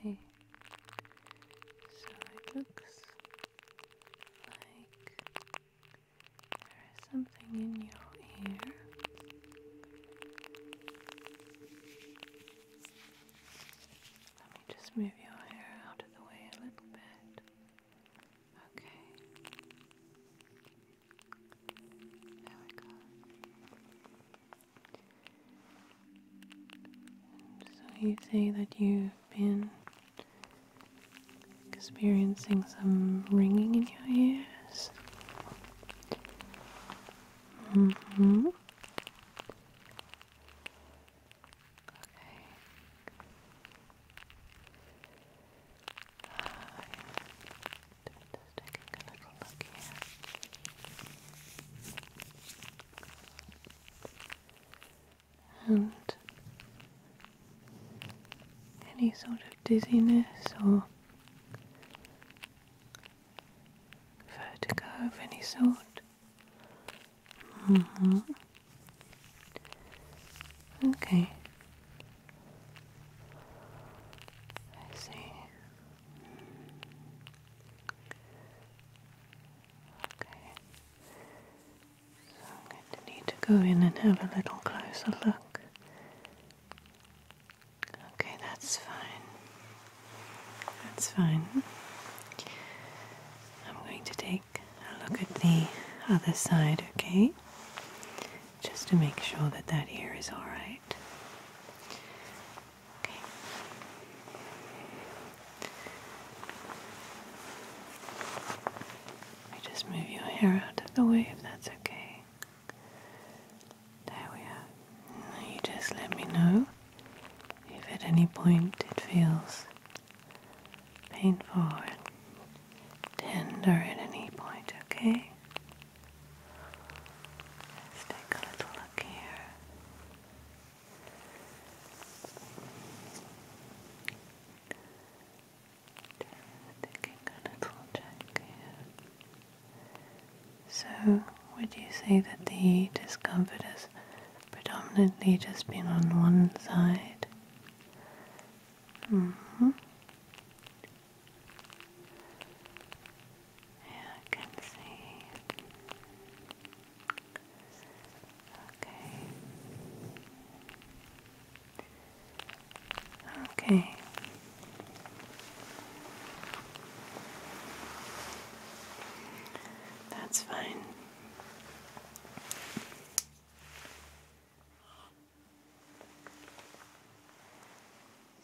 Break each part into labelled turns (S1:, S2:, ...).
S1: Okay, so it looks like there is something in your ear. Let me just move your hair out of the way a little bit. Okay. So you say that you've been experiencing some ringing in your ears. Mm-hmm. Just taking a little look here. And any sort of dizziness or vertigo of any sort. Mm-hmm. Okay. I see. Okay. So I'm going to need to go in and have a little closer look. Okay, that's fine. That's fine. I'm going to take a look at the other side, okay? just to make sure that that ear is all right. Okay. I just move your hair out of the way if that's okay. There we are. you just let me know if at any point it feels painful or tender at any point, okay? Let's take a little look here. taking a little check So, would you say that the discomfort has predominantly just been on one side? Mm hmm. Yeah, I can see Okay. Okay. That's fine.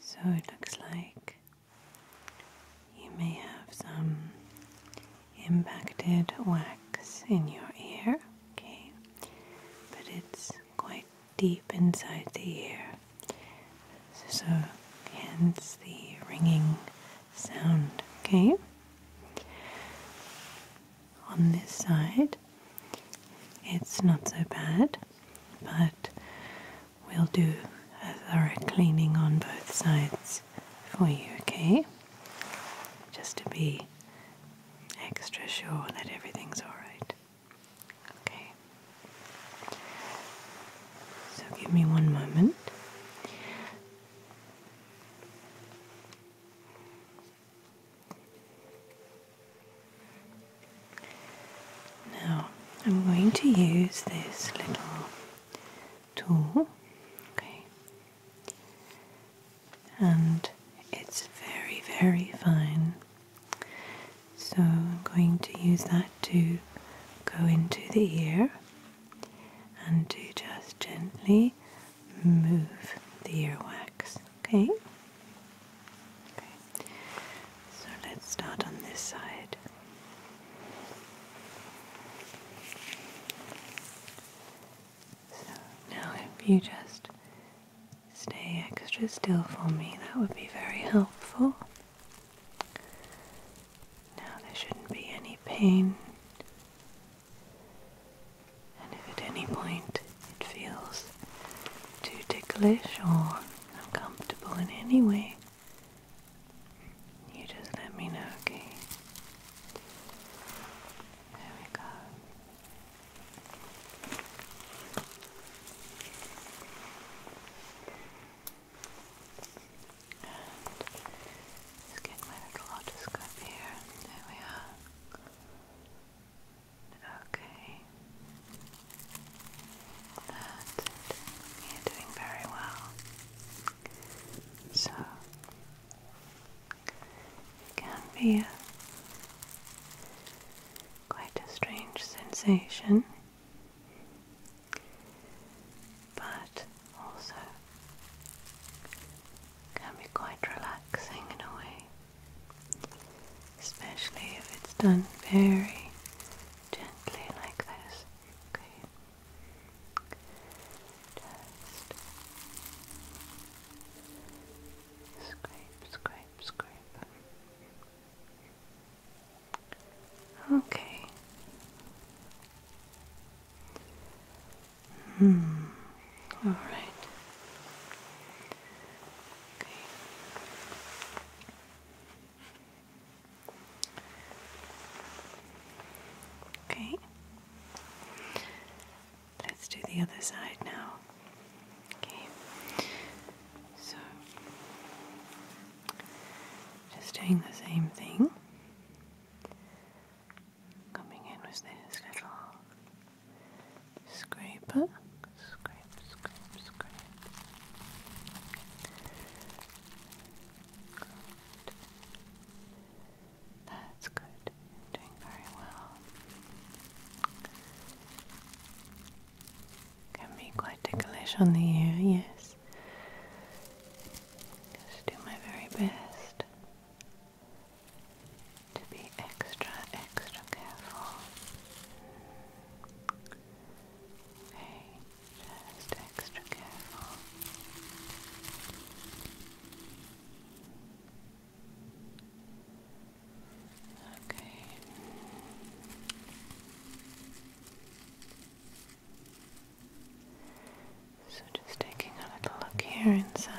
S1: So it looks like you may have some impacted wax in your ear, okay? But it's quite deep inside the ear, so hence the ringing sound, okay? On this side, it's not so bad, but we'll do a thorough cleaning on both sides for you, okay? Just to be extra sure that everything's alright. Okay. So give me one moment. Now I'm going to use this little tool, okay, and it's very, very fine. So I'm going to use that to go into the ear and to just gently move the earwax, okay? So let's start on this side. So now if you just stay extra still for me, that would be very helpful. Now there shouldn't be any pain. And if at any point it feels too ticklish or uncomfortable in any way, you just let me know, okay? There we go. And let's get my little otoscope here. There we are. Okay. That's it. You're doing very well. So, can be quite a strange sensation, but also can be quite relaxing in a way, especially if it's done very gently like this. Okay. Just scrape, scrape, scrape. Okay. Hmm. All right. Okay. Okay. Let's do the other side now. Okay. So, just doing the same thing. Coming in with this little scraper, scrape, scrape, scrape. Good. That's good. doing very well. Can be quite ticklish on the ear, yes. Just do my very best to be extra, extra careful. Okay. Just extra careful. Okay. So just taking a little look here inside.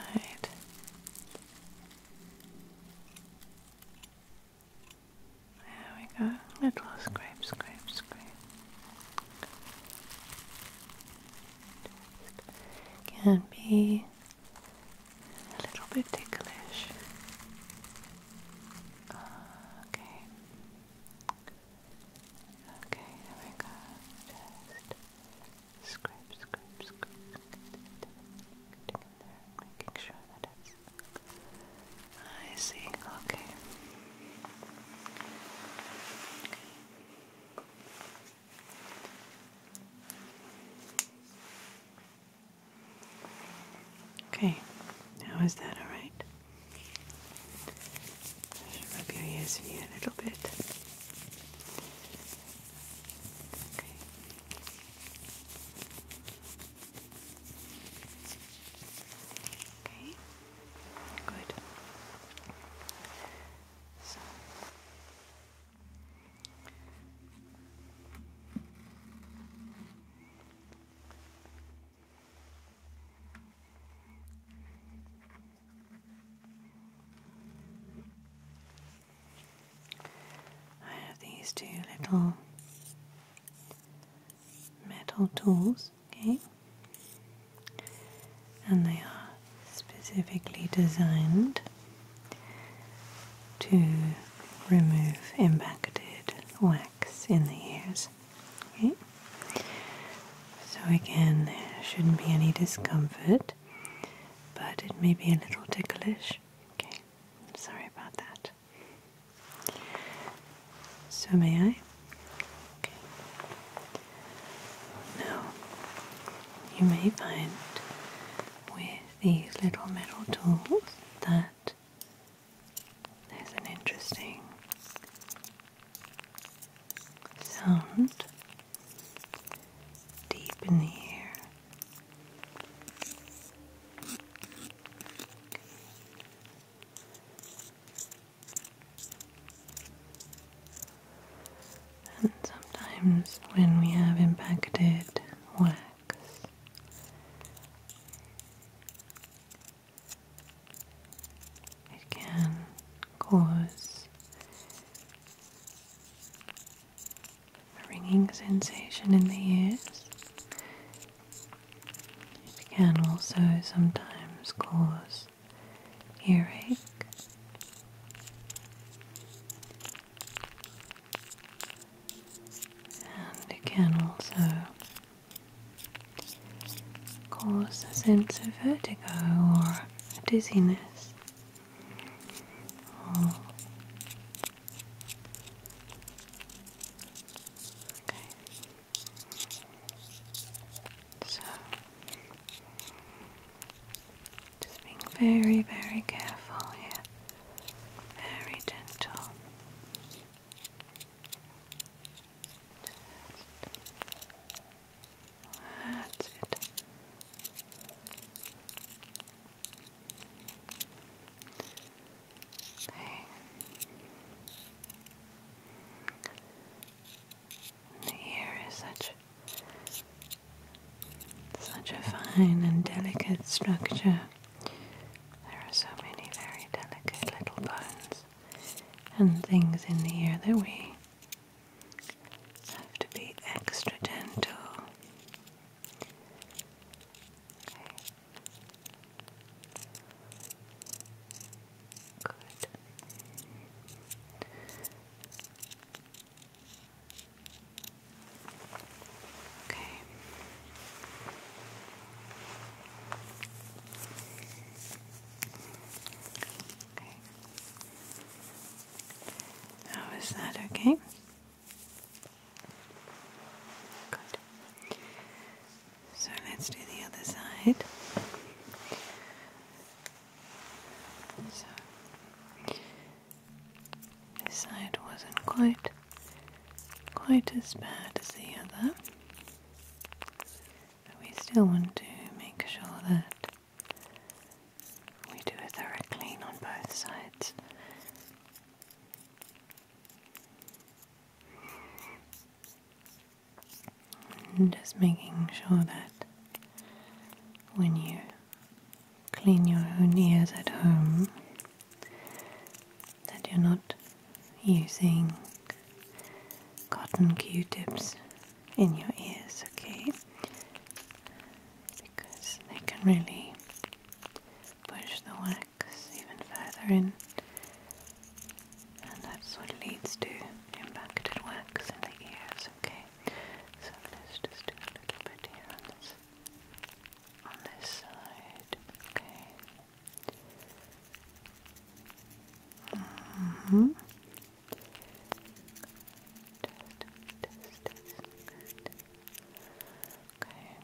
S1: There we go. Little scrape, scrape, scrape. Can be a little bit ticklish. Okay. Okay, there we go. Just scrape, scrape, scrape. There, making sure that it's I see, okay. okay. How is that alright? Rub your ears for you a little bit. Okay, good. So I have these two little metal tools, okay? And they are specifically designed to remove impacted wax in the ears. Okay? So again, there shouldn't be any discomfort, but it may be a little ticklish. Okay, sorry about that. So may I? Now, you may find with these little metal tools that there's an interesting sound deep in the and sometimes when we have impacted wax, it can cause a ringing sensation in the ears it can also sometimes cause earache. And it can also cause a sense of vertigo or dizziness okay. So, just being very, very careful here, very gentle. that's it. Okay. The ear is such such a fine and delicate structure. There are so many very delicate little bones and things in the ear that we have to be extra gentle. Good. Okay. Okay. How is that okay? Good. So let's do the other side. this side wasn't quite quite as bad as the other. But we still want to make sure that we do a thorough clean on both sides just making sure that when you clean your own ears at home, that you're not using cotton q-tips in your ears, okay? Because they can really push the wax even further in and that's what leads to impacted wax in the ears, okay? So let's just do a little bit here on this, on this side, okay? hmm Test, test, test, good. Okay.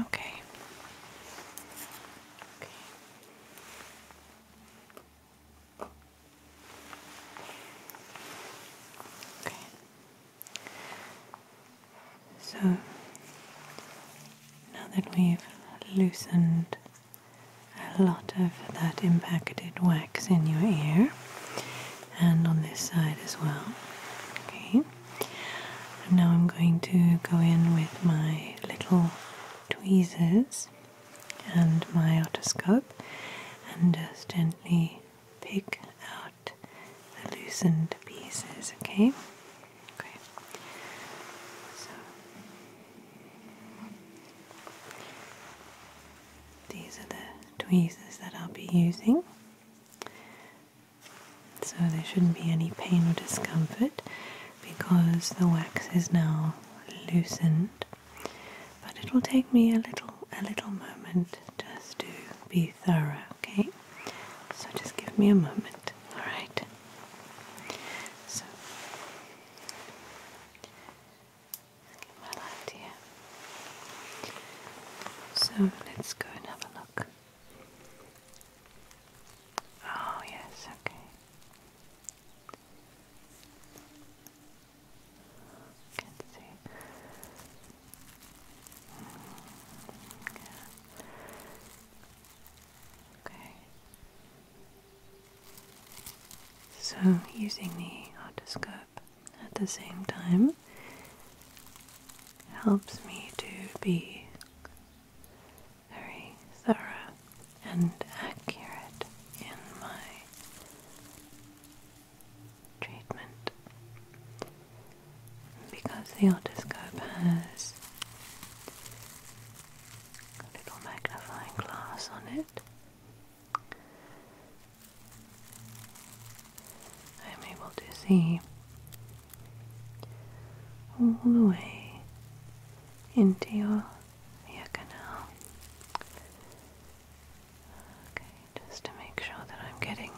S1: Okay. Okay. So now that we've loosened a lot of that impacted wax in your ear, and on this side as well. Okay, and now I'm going to go in with my little tweezers and my otoscope and just gently pick out the loosened pieces. Okay, okay, these are the tweezers that I'll be using. So there shouldn't be any pain or discomfort because the wax is now loosened. But it will take me a little a little moment just to be thorough, okay? So just give me a moment. Alright. So well idea. So let's go and have a look. Oh yes, okay. Can see. Mm, Okay. So using the otoscope at the same time helps me to be very thorough and accurate in my treatment because the otoscope has a little magnifying glass on it I'm able to see all the way into your ear canal. Okay, just to make sure that I'm getting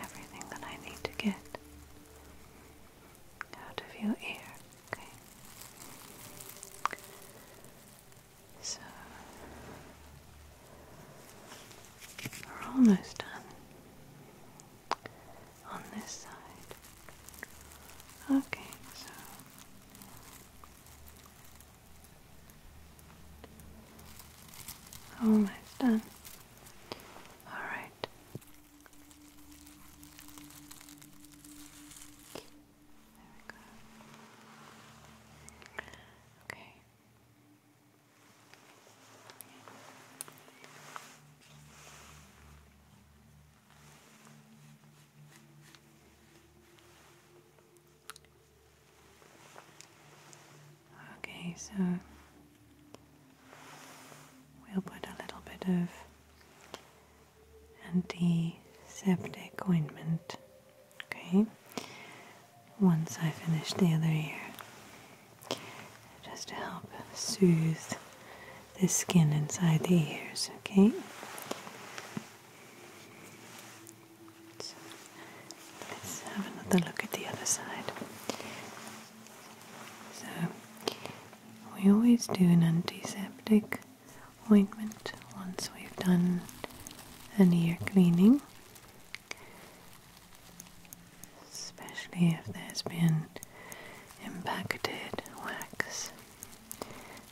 S1: everything that I need to get out of your ear. Okay. So we're almost done on this side. Okay, so almost done. All right. Okay. Okay, so we'll put a little bit of antiseptic ointment. Okay, once I finish the other ear, just to help soothe the skin inside the ears. Okay, so let's have another look at the other side. So, we always do an antiseptic Appointment once we've done an ear cleaning, especially if there's been impacted wax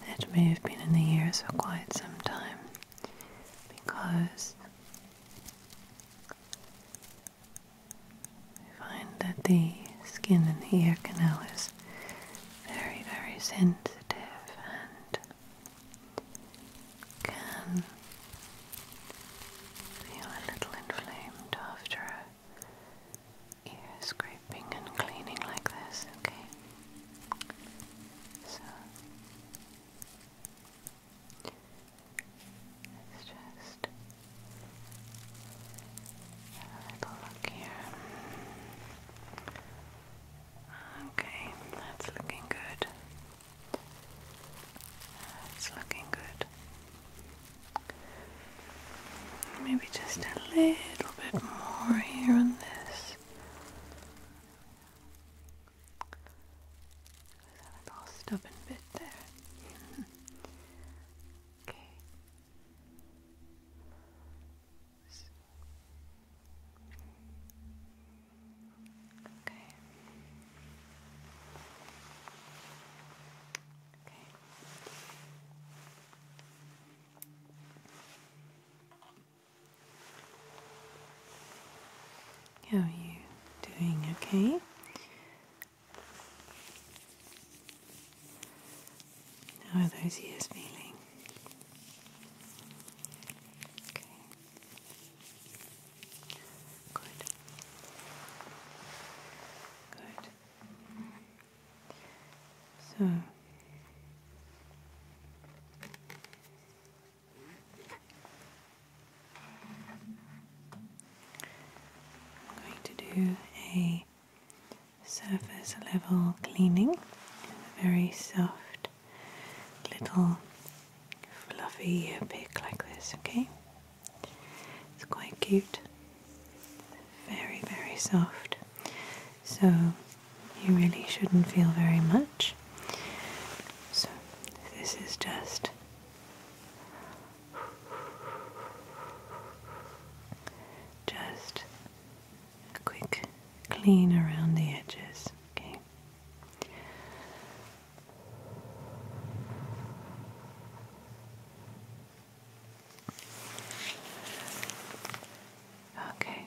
S1: that may have been in the ears for quite some time because we find that the skin in the ear canal is very, very sensitive and can feel a little inflamed after ear scraping and cleaning like this, okay? So let's just have a little look here. Okay, that's looking good. That's looking good. Maybe just a little bit more here on this. little stubborn bit there. okay. How are you doing? Okay. How are those ears feeling? Okay. Good. Good. So I'm going to do a surface level cleaning, very soft little fluffy ear like this, okay? It's quite cute. Very, very soft. So you really shouldn't feel very much. So this is just just a quick clean around the edges. Okay. Okay.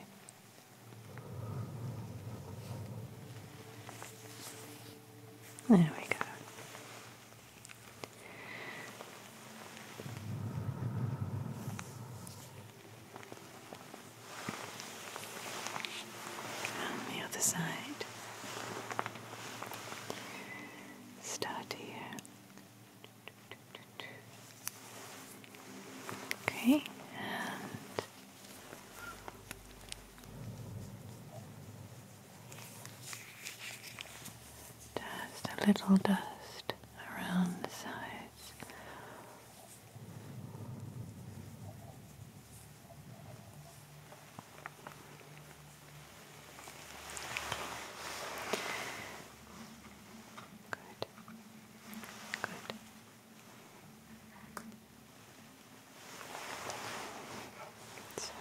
S1: There we go. On the other side. Start here. Okay, and just a little dust around the side. Good. Good. So.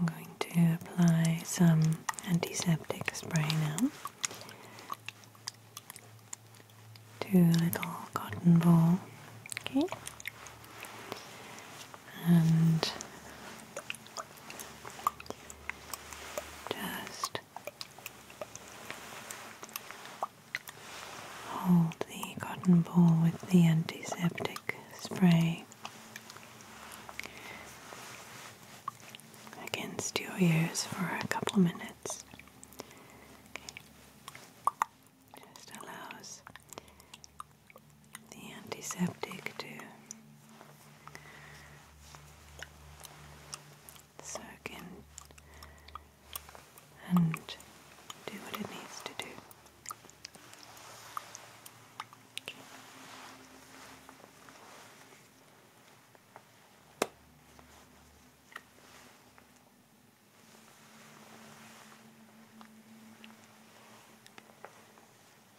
S1: I'm going to apply some antiseptic spray now to a little cotton ball. Okay. And just hold the cotton ball with the antiseptic spray against your ears for a couple of minutes. Okay. Just allows the antiseptic too. So it and do what it needs to do.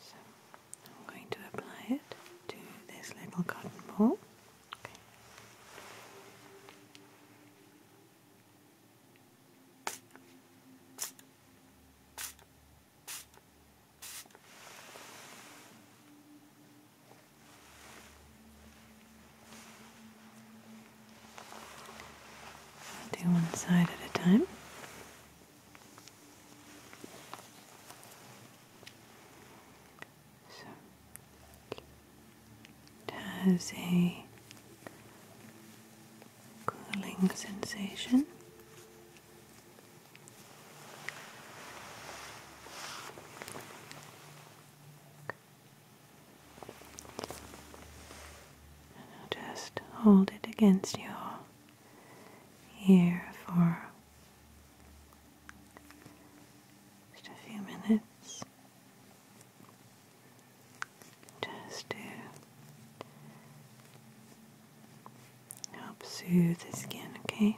S1: So I'm going to apply it to this little cotton ball. Okay. do one side at a time. So it has a cooling sensation. just hold it against your here for just a few minutes just to help soothe the skin, okay?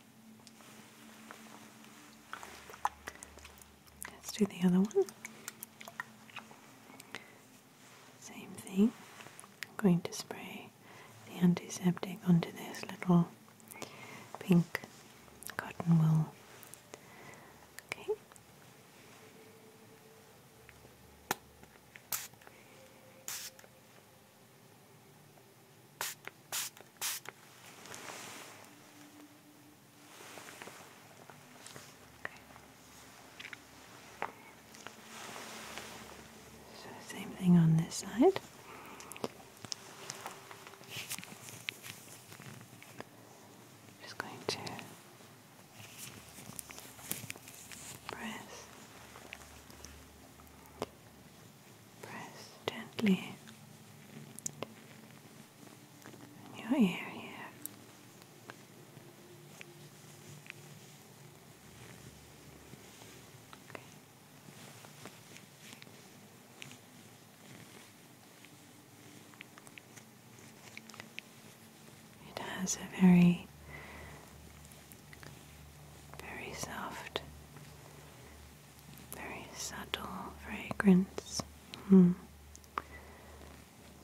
S1: Let's do the other one. Same thing. I'm going to spray the antiseptic onto this little pink cotton wool. Okay. So same thing on this side. Just going to press Press gently your ear here. It has a very, very soft very subtle fragrance. Hmm.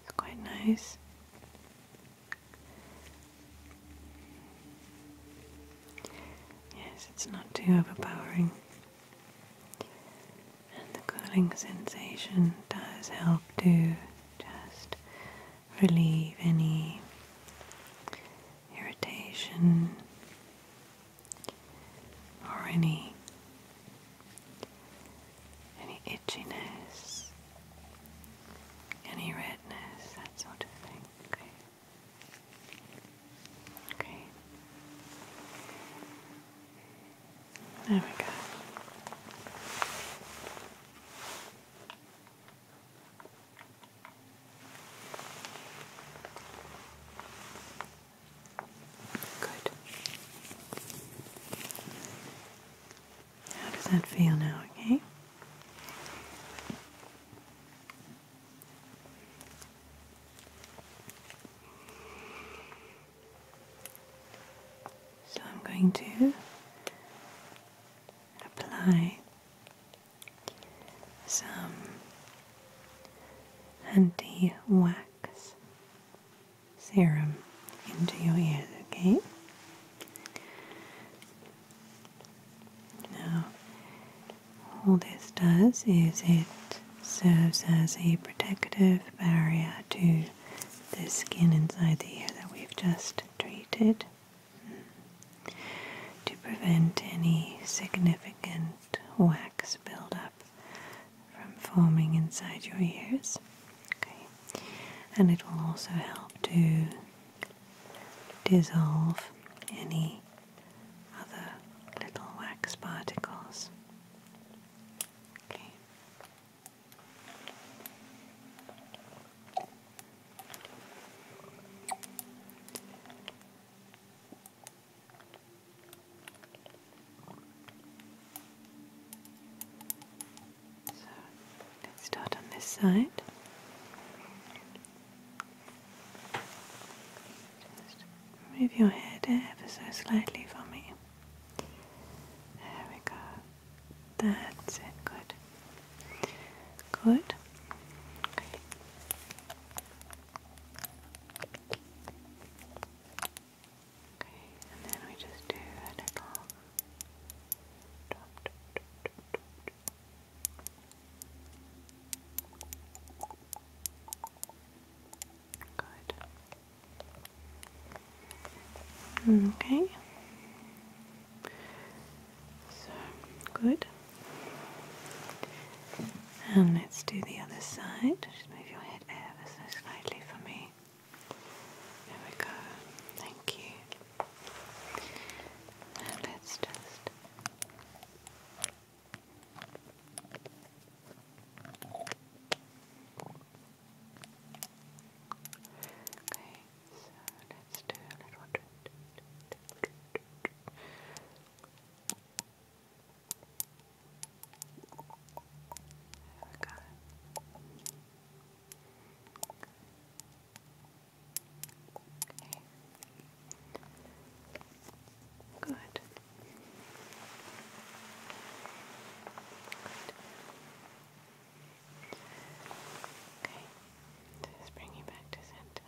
S1: It's quite nice. Yes, it's not too overpowering. And the cooling sensation does help to just relieve any irritation, or any any itchiness, any redness, that sort of thing. Okay. Okay. There we go. Good. How does that feel now, okay? So I'm going to apply some anti wax serum into your ears, okay? Now, all this does is it serves as a protective barrier to the skin inside the ear that we've just treated to prevent any significant wax buildup from forming inside your ears. And it will also help to dissolve any other little wax particles. So let's start on this side. Just move your head ever so slightly for me. There we go. That's it. Good. Good. Okay, and then we just do a little drop, drop, drop, drop, drop. Good. Hmm, okay. So good. And let's do the other side. Just move your head ever so slightly for me. There we go. Thank you. let's just Okay, so let's do a little there Okay. Good. Okay. So just bring you back to center.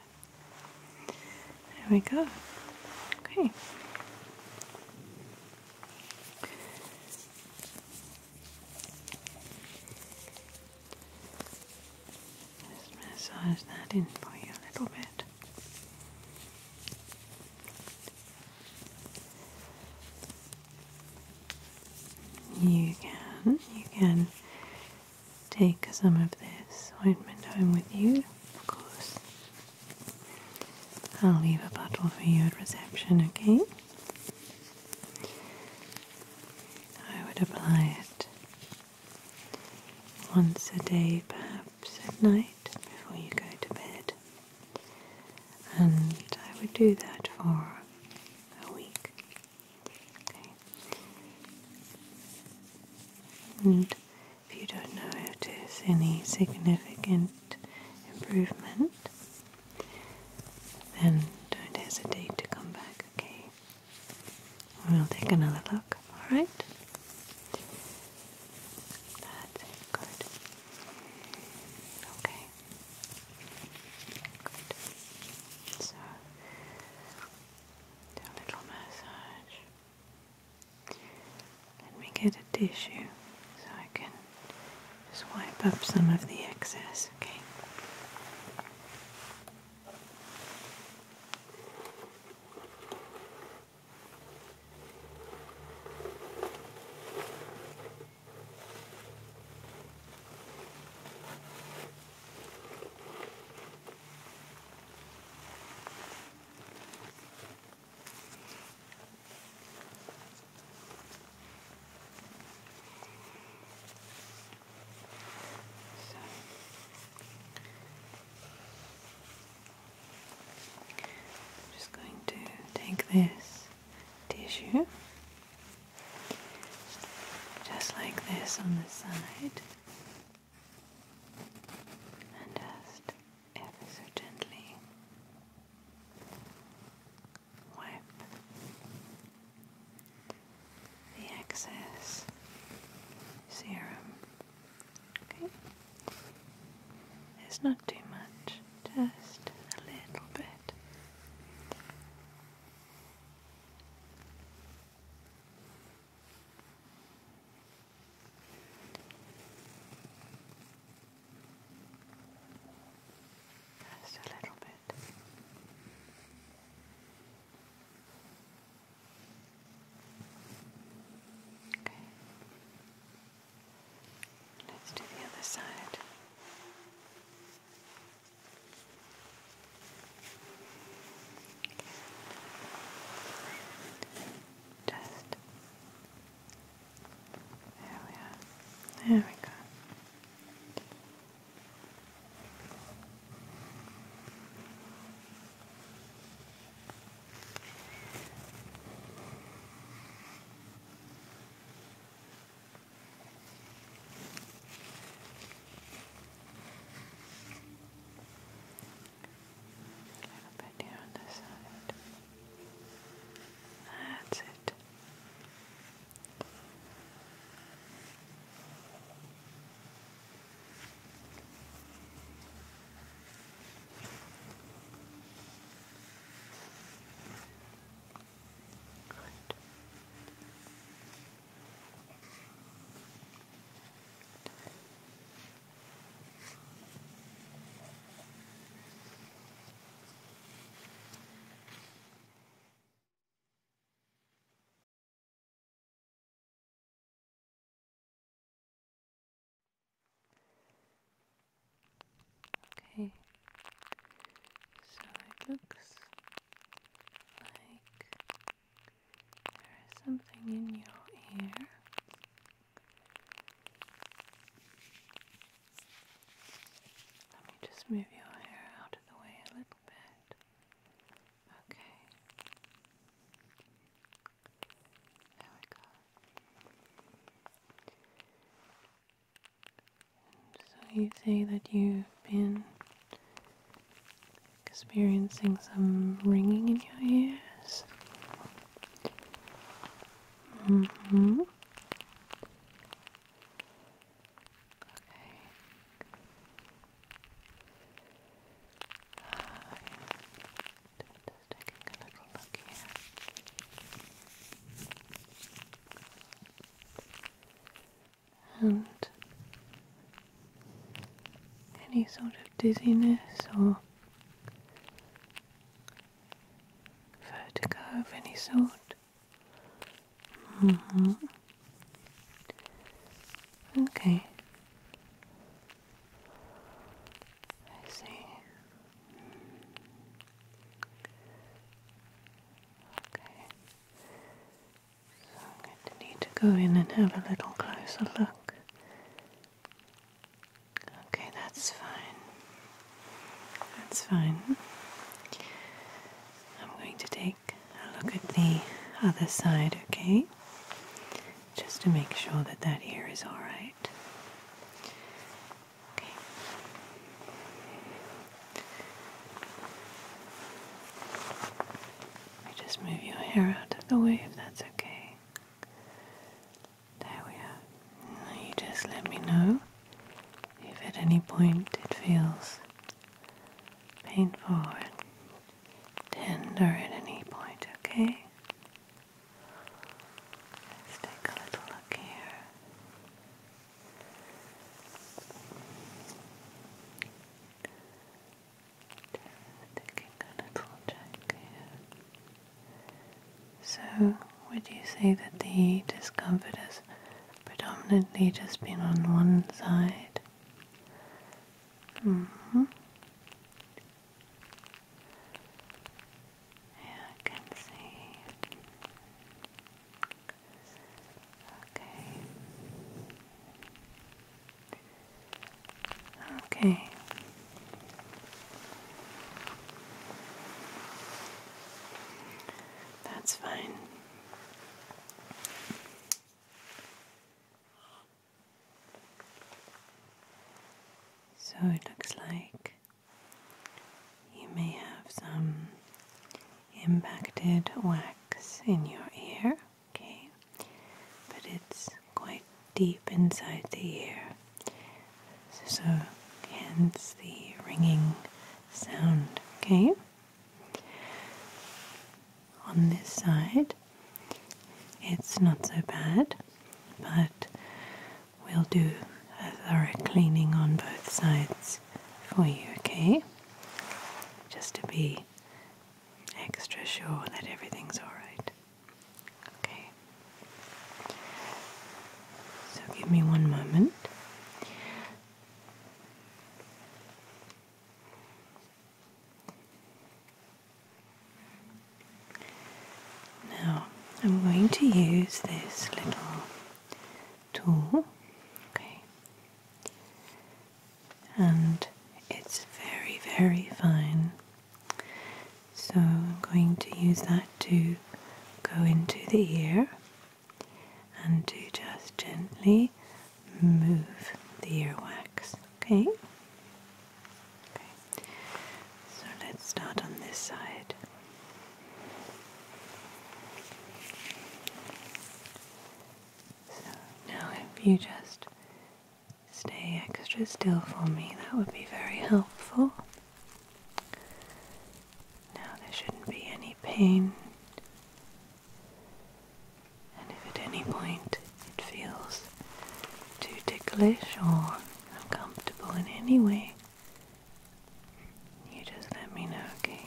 S1: There we go. Okay. Just massage that in for you a little bit. You can, you can take some of this ointment home with you, of course. I'll leave a bottle for you at reception, okay? I would apply it once a day, perhaps at night before you go to bed. And I would do that for a week. Okay. And if you don't notice any significant improvement, then don't hesitate to come back, okay? We'll take another look, alright? That's good. Okay. Good. So, a little massage. Let me get a tissue so I can just wipe up some of the excess, okay? I'm just going to take this tissue just like this on the side and just ever gently wipe the excess serum. Okay, it's not too much, just a little bit. Just a little bit. Okay. Let's do the other side. Just there we are. There we go. A little bit here on this side. That's it. Good. Okay, so it looks like there is something in your ear. Let me just move your hair out of the way a little bit. Okay. There we go. so you say that you've been experiencing some ringing in your ears. hmm. Okay. just taking a little look here. And any sort of dizziness or Vertigo of any sort. Mm-hmm. Okay. I see. Okay. So I'm going to need to go in and have a little closer look Okay, that's fine. That's fine. I'm going to take a look at the other side, okay? Just to make sure that that hair is alright. Okay. Let me just move your hair out of the way if that's okay. There we are. you just let me know if at any point it feels painful or tender at any point, okay? Let's take a little look here. So, would you say that the discomfort has predominantly just been on one side? Mm-hmm. Yeah, I can see. Okay. Okay. That's fine. So it looks like you may have some impacted wax in your ear, okay? but it's quite deep inside the ear, so hence the ringing sound. Okay, on this side it's not so bad, but we'll do a thorough cleaning on both sides for you, okay? Just to be extra sure that everything's alright. Okay. So give me one moment. Now I'm going to use this little tool. Okay. And it's very, very fine. So I'm going to use that to go into the ear and to just gently move the earwax. Okay? Okay. So let's start on this side. So now if you just Stay extra still for me, that would be very helpful. Now there shouldn't be any pain. And if at any point it feels too ticklish or uncomfortable in any way, you just let me know, okay?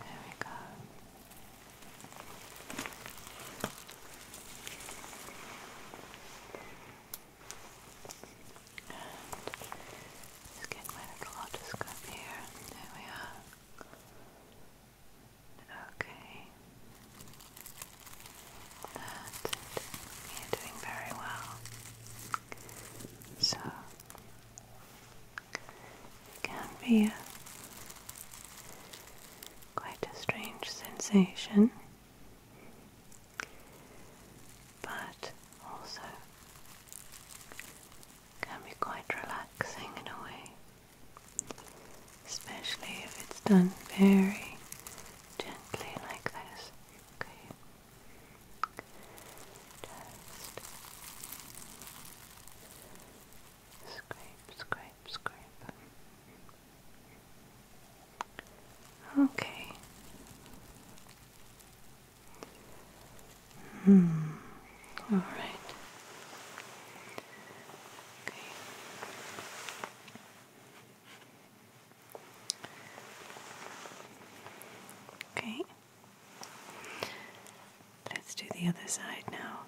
S1: There we go. And just getting my otolotoscope here. There we are. Okay. That's You're doing very well. So, it can be Quite a strange sensation, but also can be quite relaxing in a way, especially if it's done very gently like this. Okay. Just Scrape, scrape, scrape. Okay. Hmm. All right. Okay. Okay. Let's do the other side now.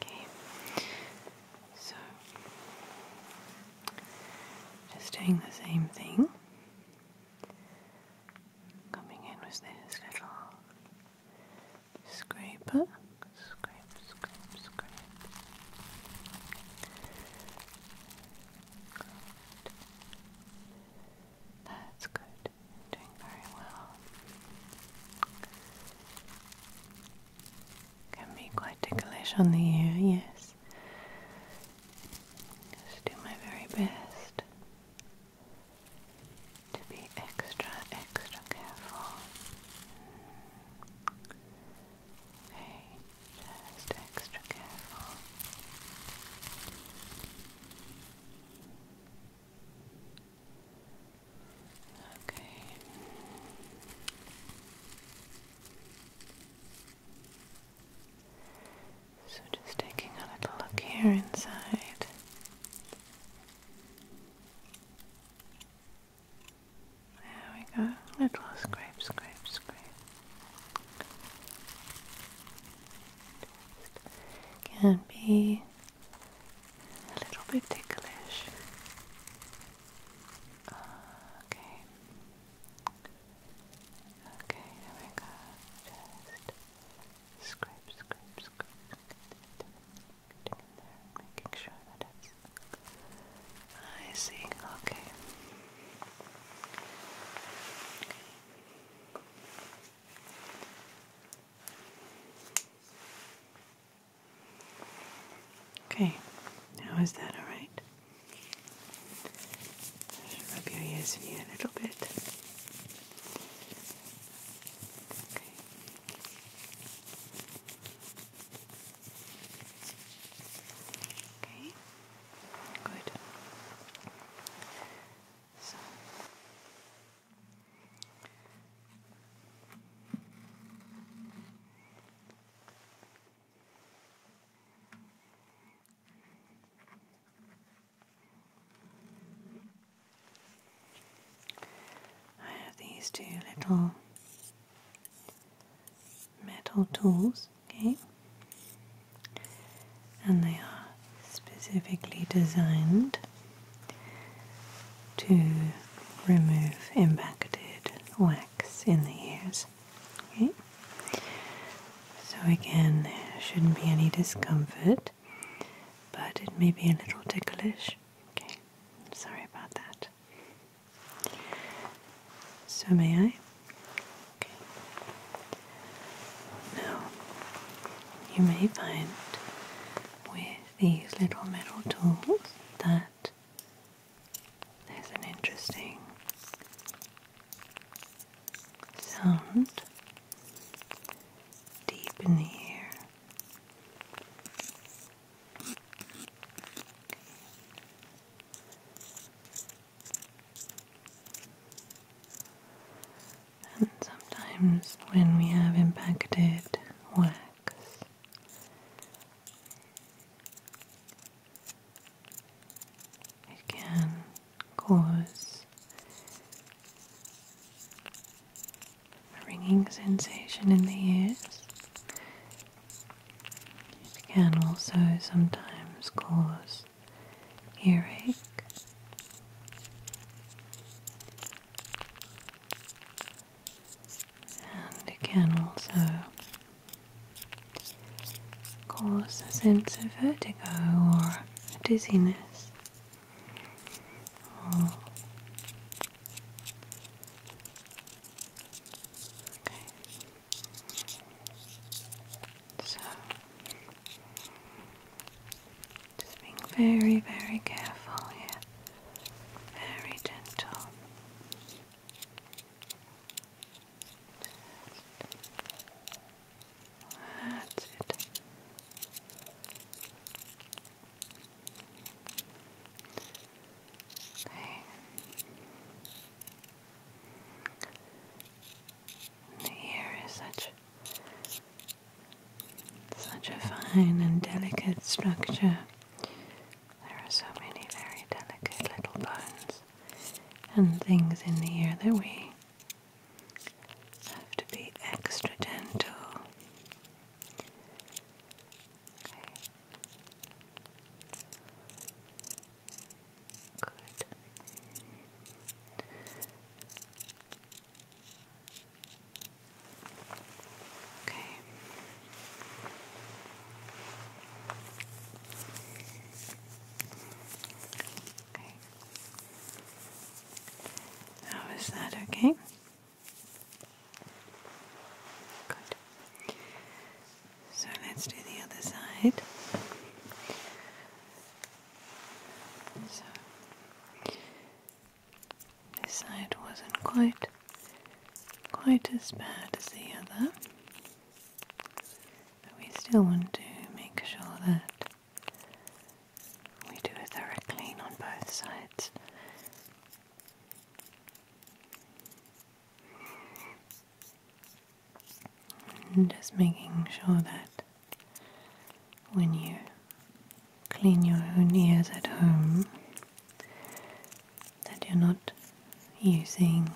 S1: Okay. So, just doing the same thing. Coming in with this little scraper. Scrape, scrape, scrape. That's good. Doing very well. Can be quite ticklish on the ear, yes. Just do my very best to be extra, extra careful. Okay, just extra careful. Okay. So just taking a little look here inside. There we go. Little scrape, scrape, scrape. can be a little bit ticklish okay. Okay, we go. Just scrape, scrape, scrape. Getting in there, making sure that I see. Okay. Okay, now is that alright? rub your ears a little bit. Okay. Okay. Good. So I have these two little metal tools, okay, and they are specifically designed to remove impacted wax in the ears. Okay? So, again, there shouldn't be any discomfort, but it may be a little ticklish. Okay, sorry about that. So, may I? Okay. Now, you may find with these little metal tools that there's an interesting sound deep in the air. And sometimes when we have impacted wax, it can cause a ringing sensation in the ears. It can also sometimes cause earache and it can also cause a sense of vertigo or dizziness So, just being very, very careful here very gentle. That's it. Okay. The ear is such such a fine and delicate structure. There are so many very delicate little bones and things in the ear that we have to be extra gentle. Good. Okay. Okay. How is that okay? Good. So let's do the other side. So this side wasn't quite quite as bad as the other. But we still want to make sure that we do a thorough clean on both sides. just making sure that when you clean your own ears at home, that you're not using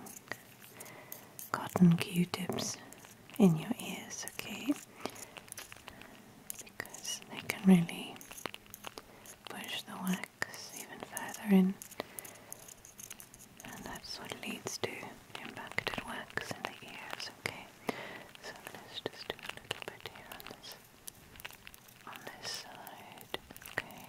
S1: cotton q-tips in your ears, okay? Because they can really push the wax even further in, and that's what leads to impacted wax in the ears, okay? So let's just do a little bit here on this, side, okay?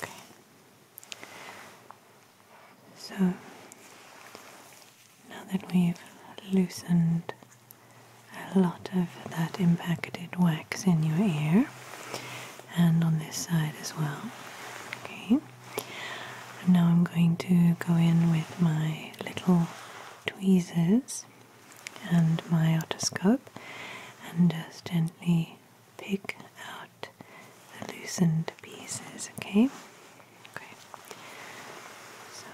S1: Okay. So now that we've loosened a lot of that impacted wax in your ear and on this side as well. Okay. now I'm going to go in with my little tweezers and my otoscope and just gently pick out the loosened pieces, okay? Okay. So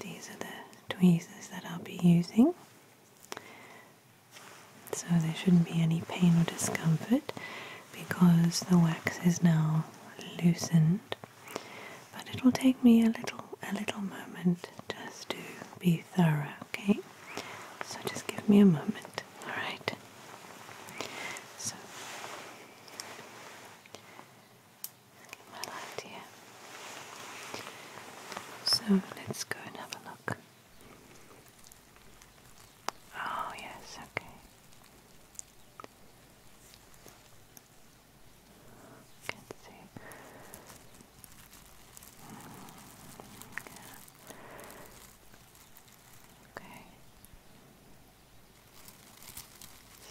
S1: these are the tweezers that I'll be using. So there shouldn't be any pain or discomfort because the wax is now loosened but it will take me a little a little moment just to be thorough okay so just give me a moment all right so get my so let's go and have a look oh yes okay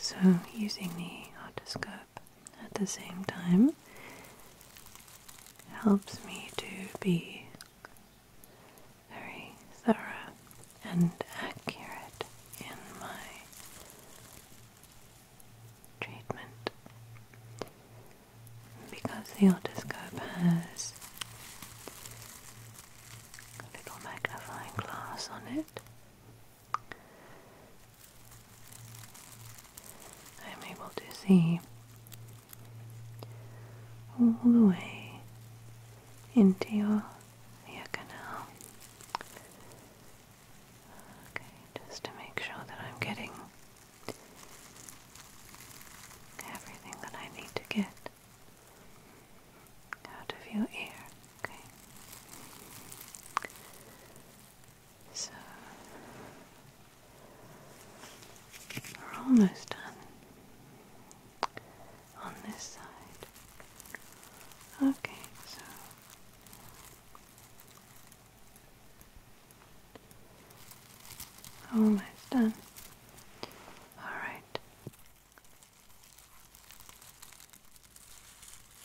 S1: so, using the otoscope at the same time helps me to be very thorough and accurate in my treatment because the otoscope has a little magnifying glass on it. I'm able to see all the way into your ear canal Okay, just to make sure that I'm getting everything that I need to get out of your ear. Okay. So we're almost done on this side. Okay, so Almost done. All right.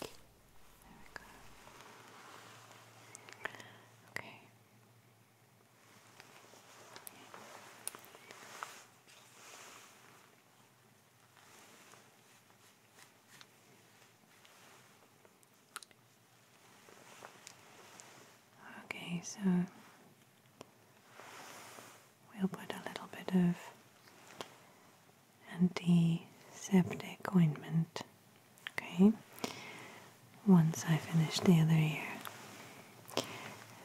S1: There Okay. Okay, so we'll put a little bit of anti-septic ointment. Okay, once I finish the other ear,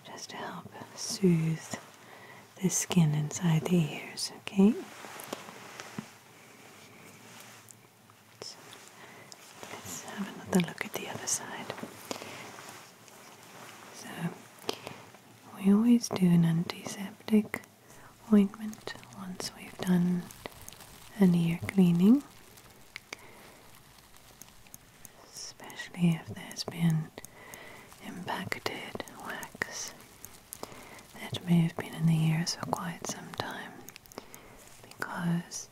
S1: just to help soothe the skin inside the ears, okay? let's have another look at the other side. So, we always do an antiseptic ointment once we've done an ear cleaning, especially if there's been impacted wax that may have been in the air for quite some time because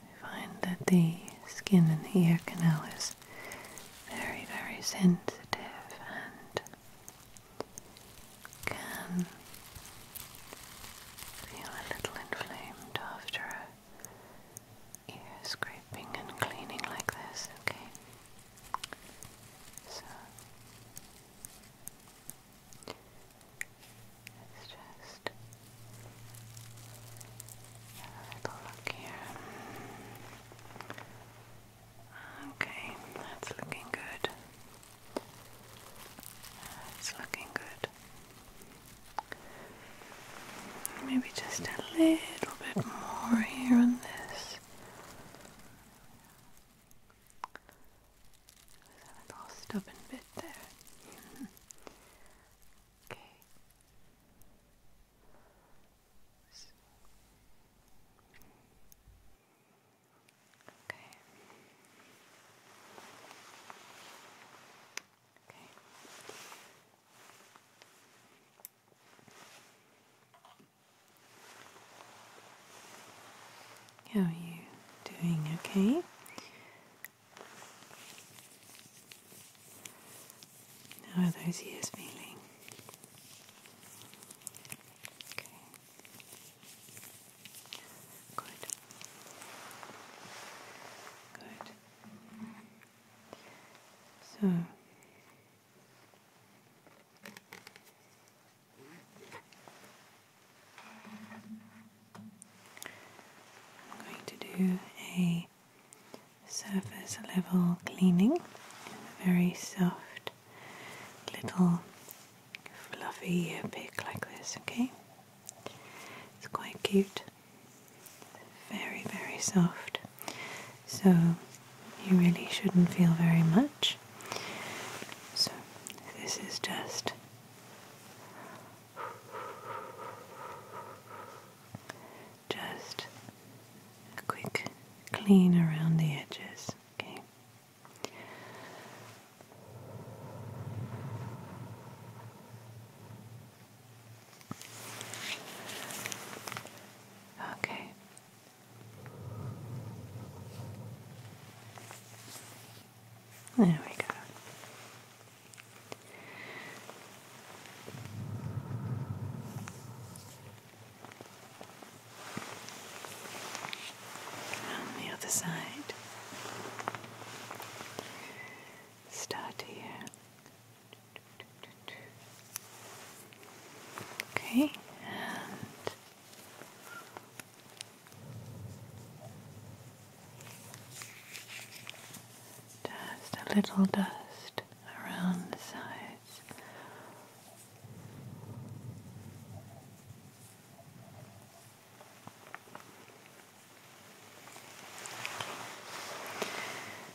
S1: we find that the skin in the ear canal is very, very sensitive and can feel a little inflamed after a ear scraping and cleaning like this, okay? So let's just have a little look here. Okay, that's looking good. That's looking good. Maybe just a little bit more here on this. That stubborn bit there. okay. Okay. Okay. How are you doing? Okay. How are those years feeling? Okay. Good. Good. So I'm going to do a surface level cleaning very soft little fluffy ear pick like this, okay? It's quite cute. Very, very soft. So you really shouldn't feel very much. So this is just just a quick clean around the edges, okay? Okay. There we go. On the other side, start here. Okay, and just a little dust around the sides.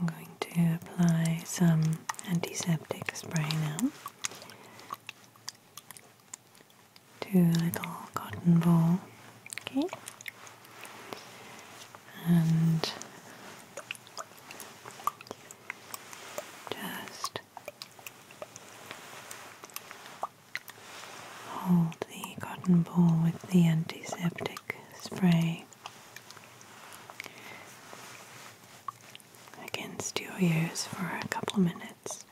S1: I'm going to apply some antiseptic spray now to a little cotton ball. Okay. And just hold the cotton ball with the antiseptic spray against your ears for a couple minutes.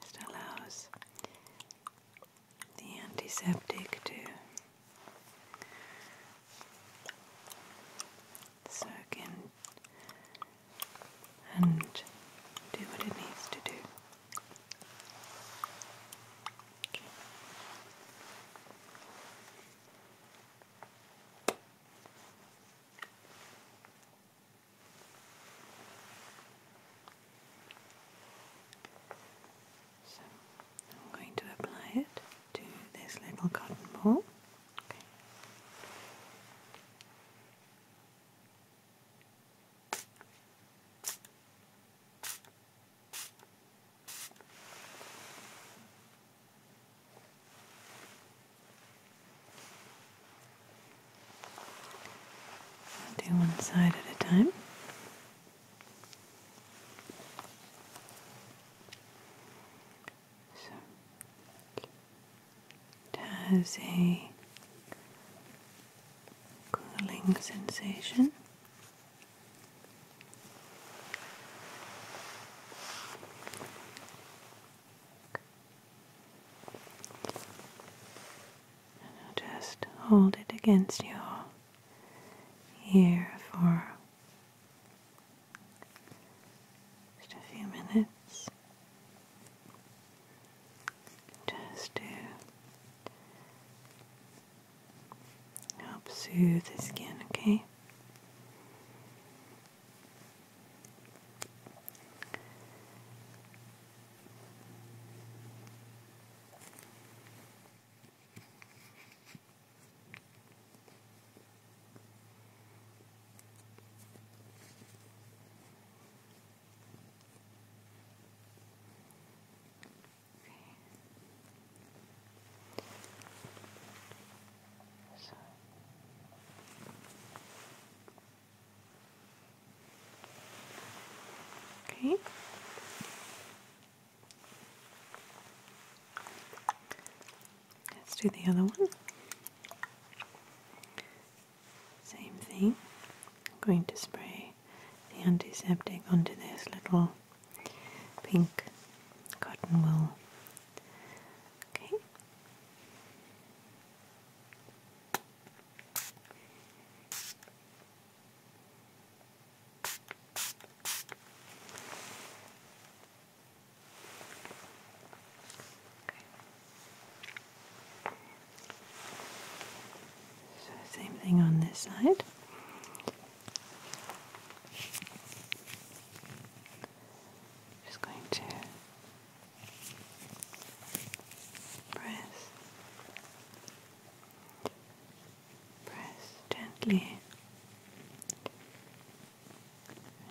S1: Just allows the antiseptic to soak in and do what it needs to do. So I'm going to apply it to this little cotton ball. Okay. Do one side at a time. So it has a cooling sensation. just hold it against your ear for just a few minutes just to help soothe the skin, okay? Okay. Let's do the other one. Same thing. I'm going to spray the antiseptic onto this little pink cotton wool. Okay same thing on this side. Just going to press, press gently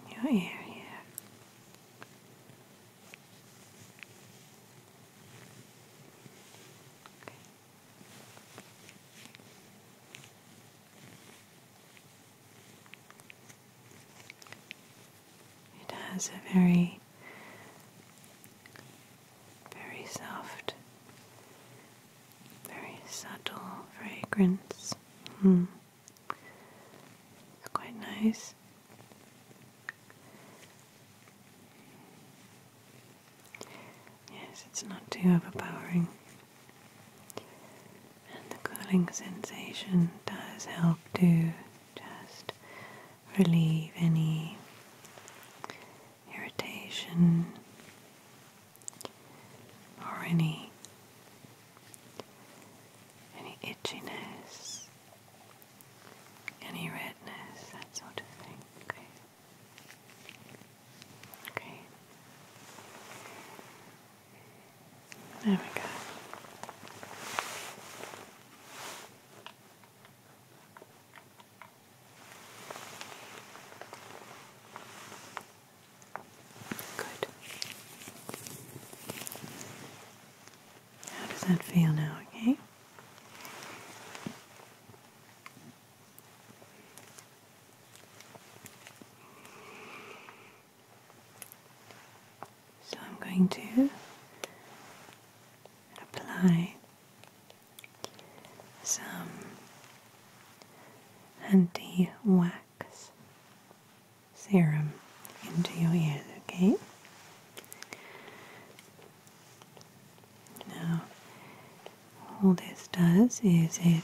S1: in your ear here. It has a very, very soft, very subtle fragrance. Hmm. quite nice. Yes, it's not too overpowering. And the cooling sensation does help to just relieve any irritation or any any itchiness any redness, that sort of thing. Okay. Okay. There we go. Good. How does that feel now, okay? So I'm going to apply some anti wax serum into your ears, okay? Now, all this does is it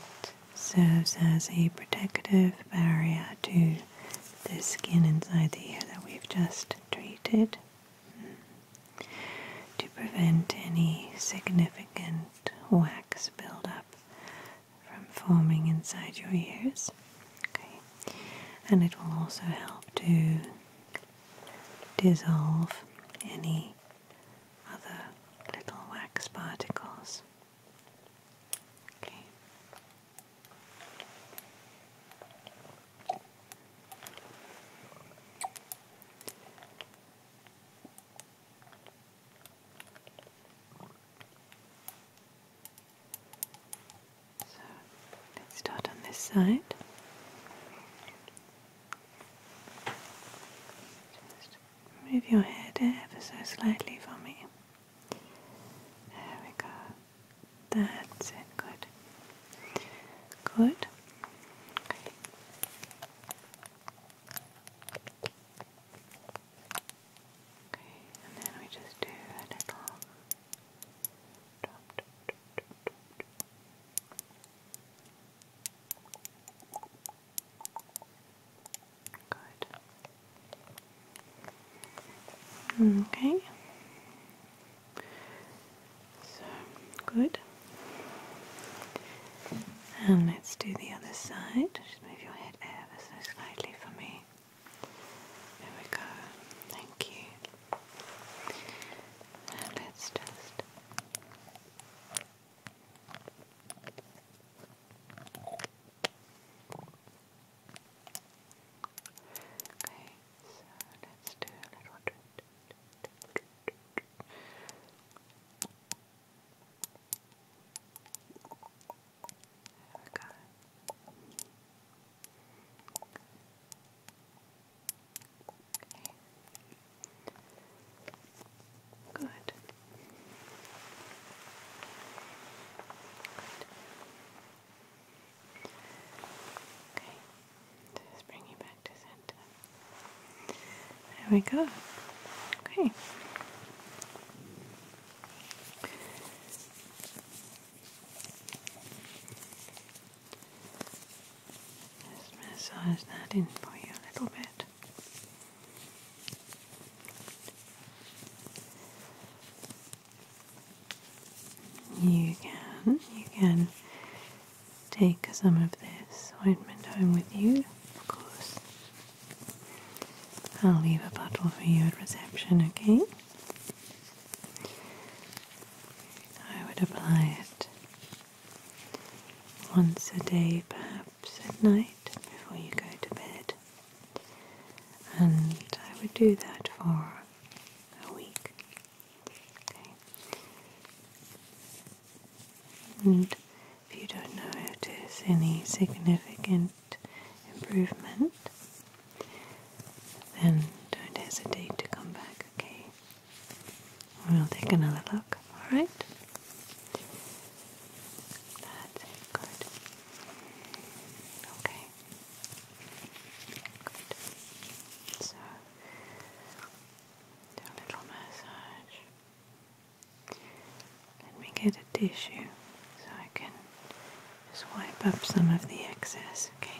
S1: serves as a protective barrier to the skin inside the ear that we've just treated mm, to prevent any significant wax buildup from forming inside your ears. Okay. And it will also help to dissolve any other little wax particles. Okay. So let's start on this side. Just move your head ever so slightly for me. There we go. That's it. Good. Good. Okay. and then we just do a little Good. Okay. So good. And let's do the other side. Just move your head ever so slightly for me. There we go. Thank you. let's just Okay, so let's do a little drip. There we go. Good. Okay. Just bring you back to center. There we go. Okay. Just massage that in for you a little bit. You can, you can take some of this ointment home with you, of course. I'll leave a bottle for you at reception, okay? I would apply it once a day, perhaps at night before you go to bed. And I would do that for a week. Okay. And if you don't notice any significant improvement, then don't hesitate to come back, okay? We'll take another look, alright? That's good. Okay. Good. So, little massage. Let me get a tissue so I can just wipe up some of the excess, okay?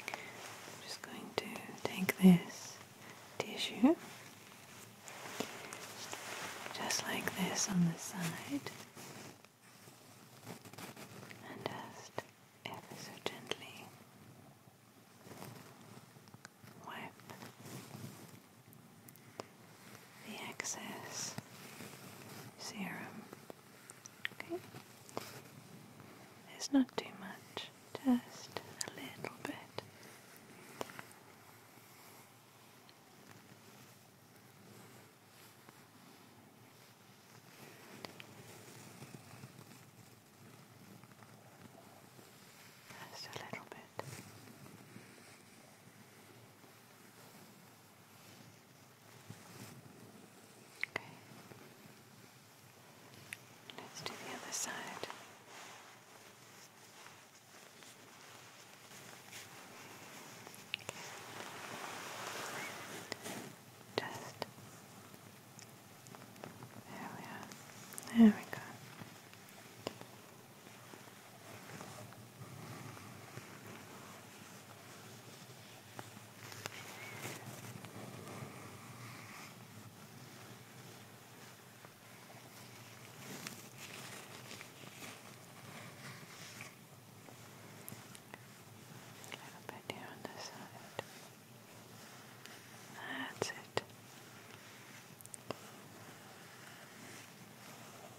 S1: I'm just going to take this tissue just like this on the side and just ever so gently wipe the excess serum. Okay? It's not too much, just a little bit. Just a little bit. Okay. Let's do the other side. Just there we are. There we go little bit here on this side. That's it.